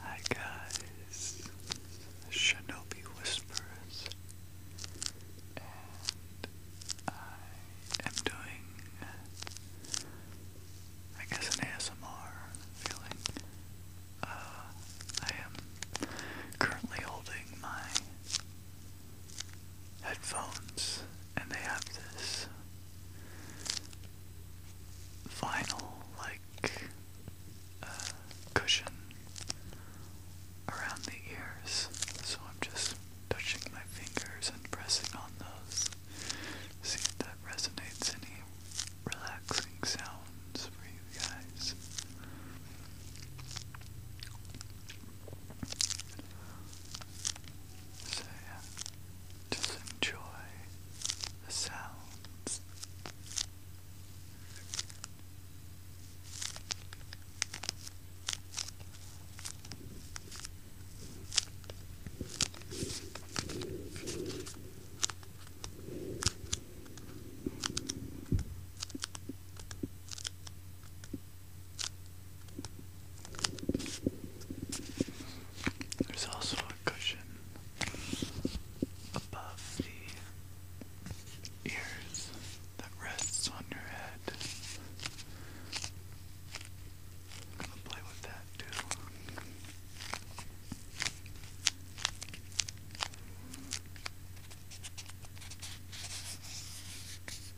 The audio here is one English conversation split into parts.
Hi guys, Shinobi Whispers, and I am doing, I guess, an ASMR feeling. Uh, I am currently holding my headphones and they have this vinyl like uh, cushion around the ears. So I'm just touching my fingers and pressing on those. See if that resonates any relaxing sounds for you guys. So yeah, just enjoy the sounds. There's also a cushion above the ears that rests on your head. I'm gonna play with that too.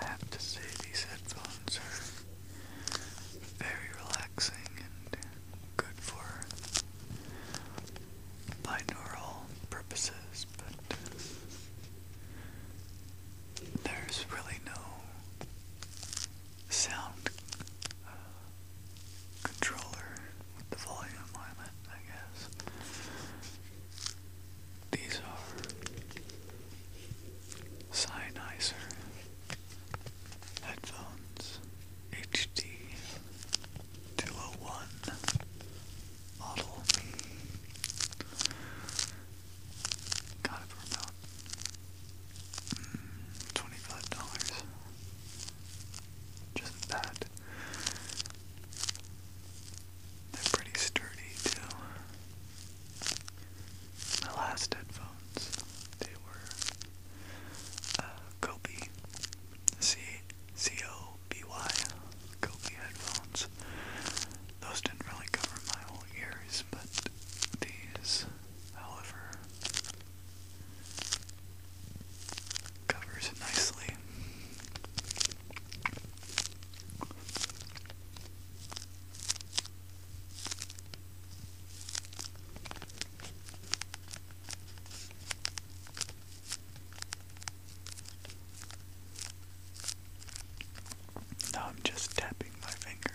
I have to say, these headphones are very relaxing and good for binaural purposes, but there's really no sound uh, controller with the volume on it, I guess. These are cyanizer. Headphones HD 201 model. Got it for about mm, $25. Just that. They're pretty sturdy too. My last headphone microphones. They were uh, headphones. Those didn't really cover my whole ears, but these, however, covers nicely. Now I'm just tapping my fingers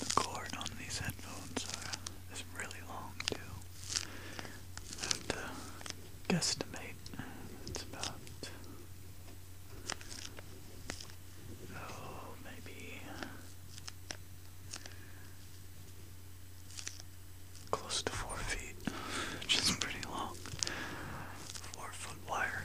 The cord on these headphones is really long too. I have guesstimate it's about oh maybe close to four feet, which is pretty long. Four foot wire.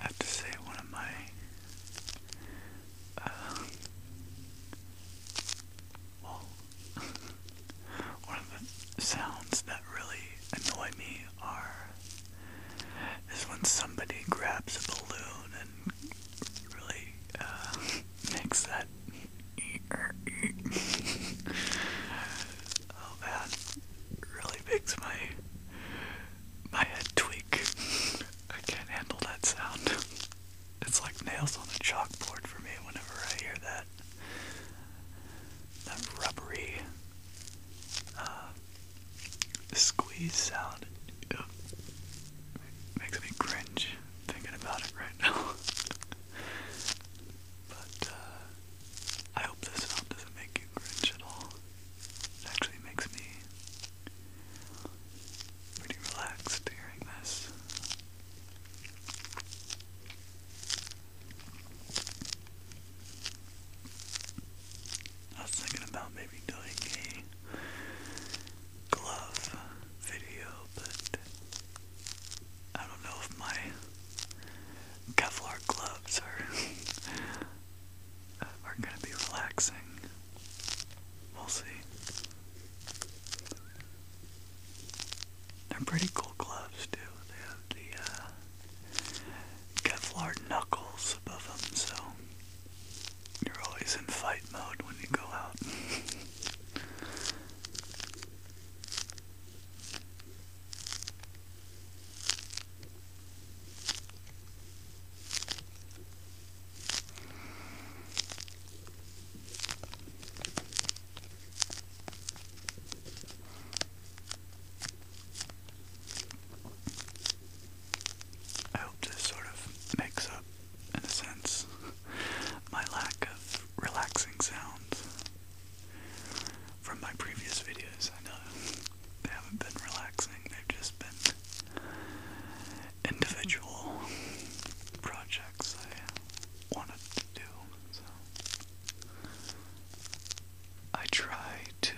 I have to say, one of my uh, one of the sounds that really annoy me are is when somebody grabs a balloon and really uh, makes that. oh man, really makes my my head tweak. I can't handle that sound. It's like nails on a chalkboard for me whenever I hear that that rubbery uh, squeeze sound. Makes me cringe thinking about it right now. but uh, I hope this sound doesn't make you cringe at all. It actually makes me pretty relaxed hearing this. I was thinking about maybe doing a glove video, but I don't know if my Kevlar gloves are are gonna be relaxing. We'll see. They're pretty cool gloves too. They have the uh, Kevlar knuckles above them, so you're always in fight mode when you go out. I hope this sort of makes up, in a sense, my lack of relaxing sounds from my previous videos. I know they haven't been relaxing, they've just been individual projects I wanted to do. I try to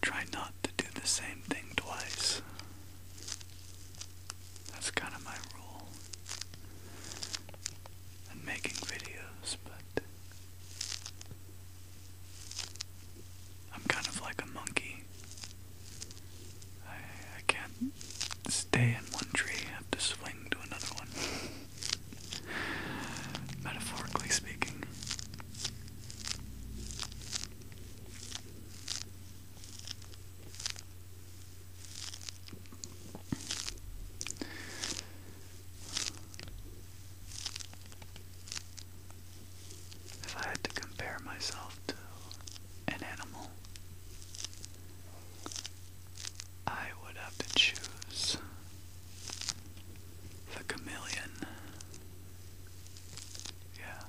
try not to do the same thing twice. That's kind of my rule in making videos, but I'm kind of like a monkey. I, I can't stay in one tree, have to swing to another one. Metaphorically speaking. If I had to compare myself to an animal, I would have to choose the chameleon. Yeah.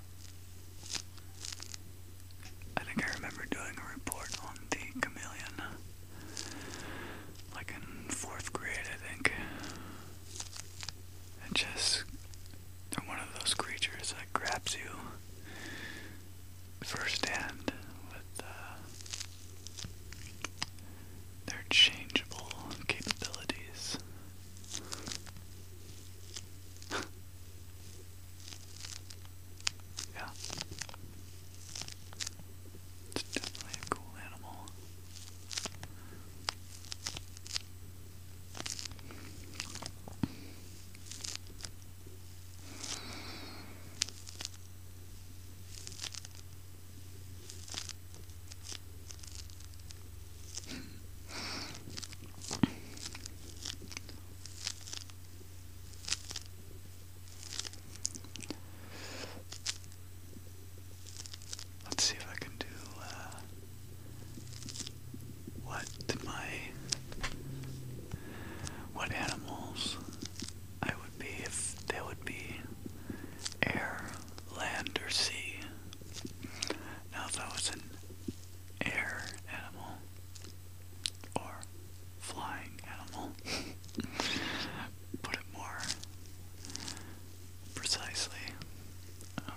I think I remember doing a report on the chameleon. Like in fourth grade, I think. It just. they one of those creatures that grabs you firsthand with uh, their changeable capabilities. yeah. It's definitely a cool animal. Let's see if I can do uh, what my what animals I would be if they would be air, land, or sea. Now if I was an air animal or flying animal, put it more precisely. Um,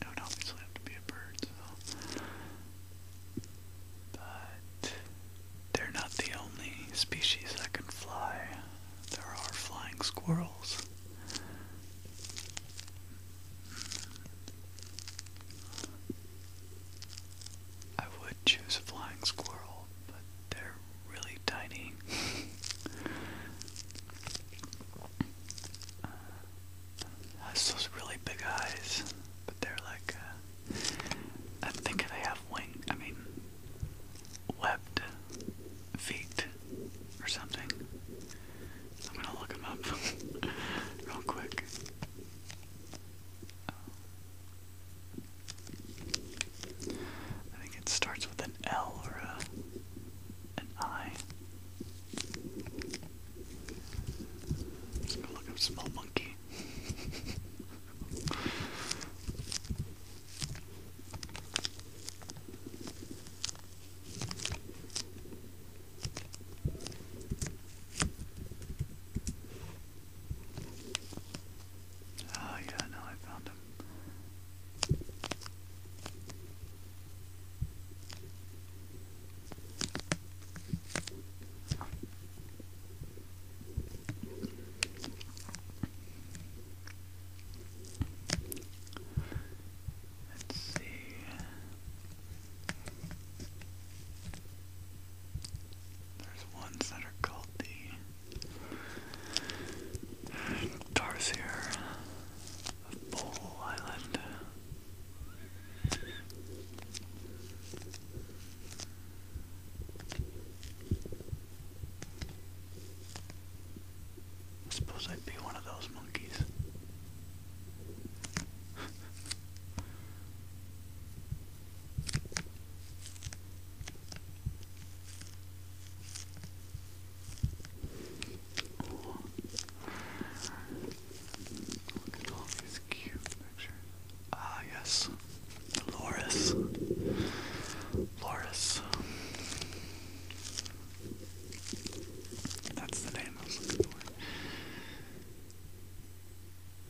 it would obviously have to be a bird, But they're not the only species that can fly. There are flying squirrels. I would choose a flying squirrel, but they're really tiny. Uh, has uh, those really big eyes, but they're like, uh, I think they have wing. I mean, webbed feet or something. I'm gonna look them up real quick. I think it starts with an L or a an eye. Let's go look up small monkey. Oh yeah, no, I found him. Let's see. There's ones that are called the Tarsier I suppose I'd be one of those monkeys. Look at all these cute pictures. Ah, yes. Loris. Loris. That's the name I was looking for.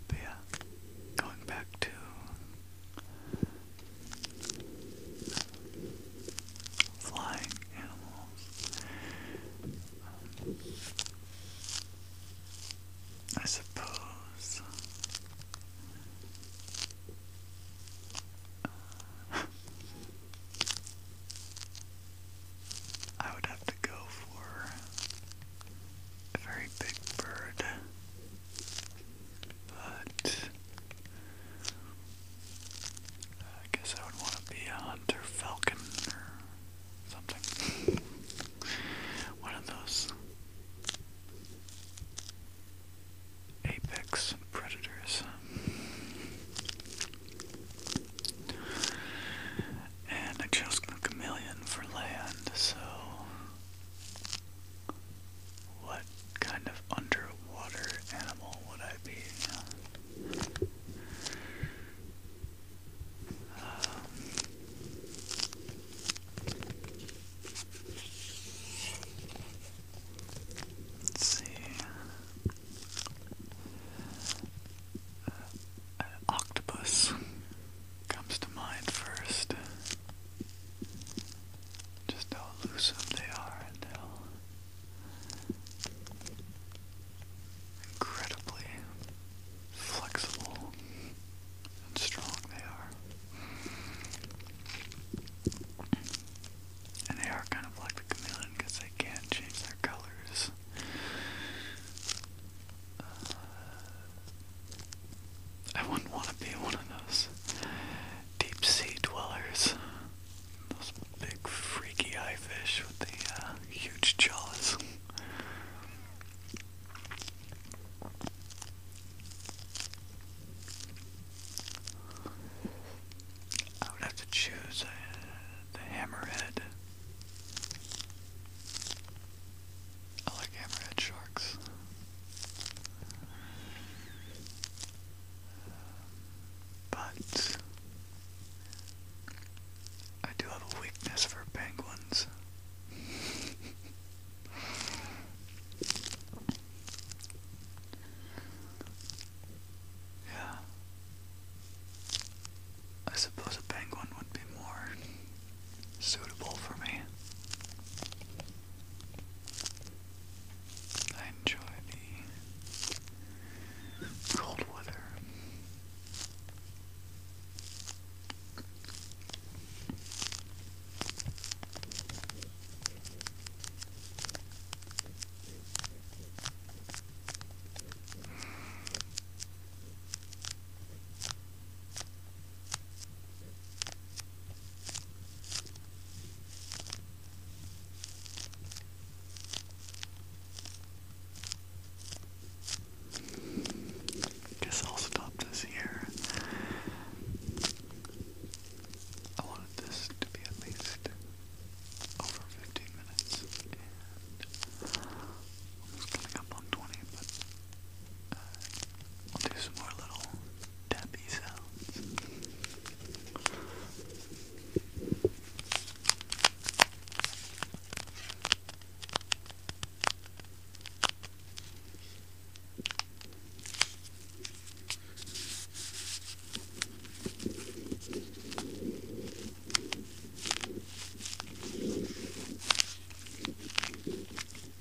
But yeah, going back to flying animals. I suppose. I would have to go for a very big bird, but I guess I would want to be a hunter falcon or something. One of those apex predators. And I chose the chameleon for land, so. What kind of underwater animal would I be? Um, let's see. Uh, octopus comes to mind first. Just how elusive they are and Incredibly flexible and strong they are. And they are kind of like the chameleon because they can change their colors. Uh, I wouldn't want to be one of those deep sea dwellers. Those big freaky eye fish with the uh, huge jaws. I would have to choose uh, the hammerhead. I like hammerhead sharks. But I do have a weakness for penguins. yeah. I suppose a penguin would be more suitable for me. I enjoy the cold weather. Guess I'll stop this here. I wanted this to be at least over 15 minutes, and almost coming up on 20, uh, I'll do some more little tappy sounds.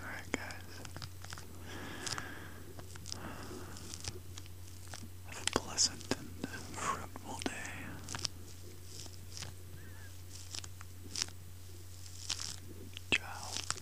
Alright, guys. pleasant and fruitful day. Ciao.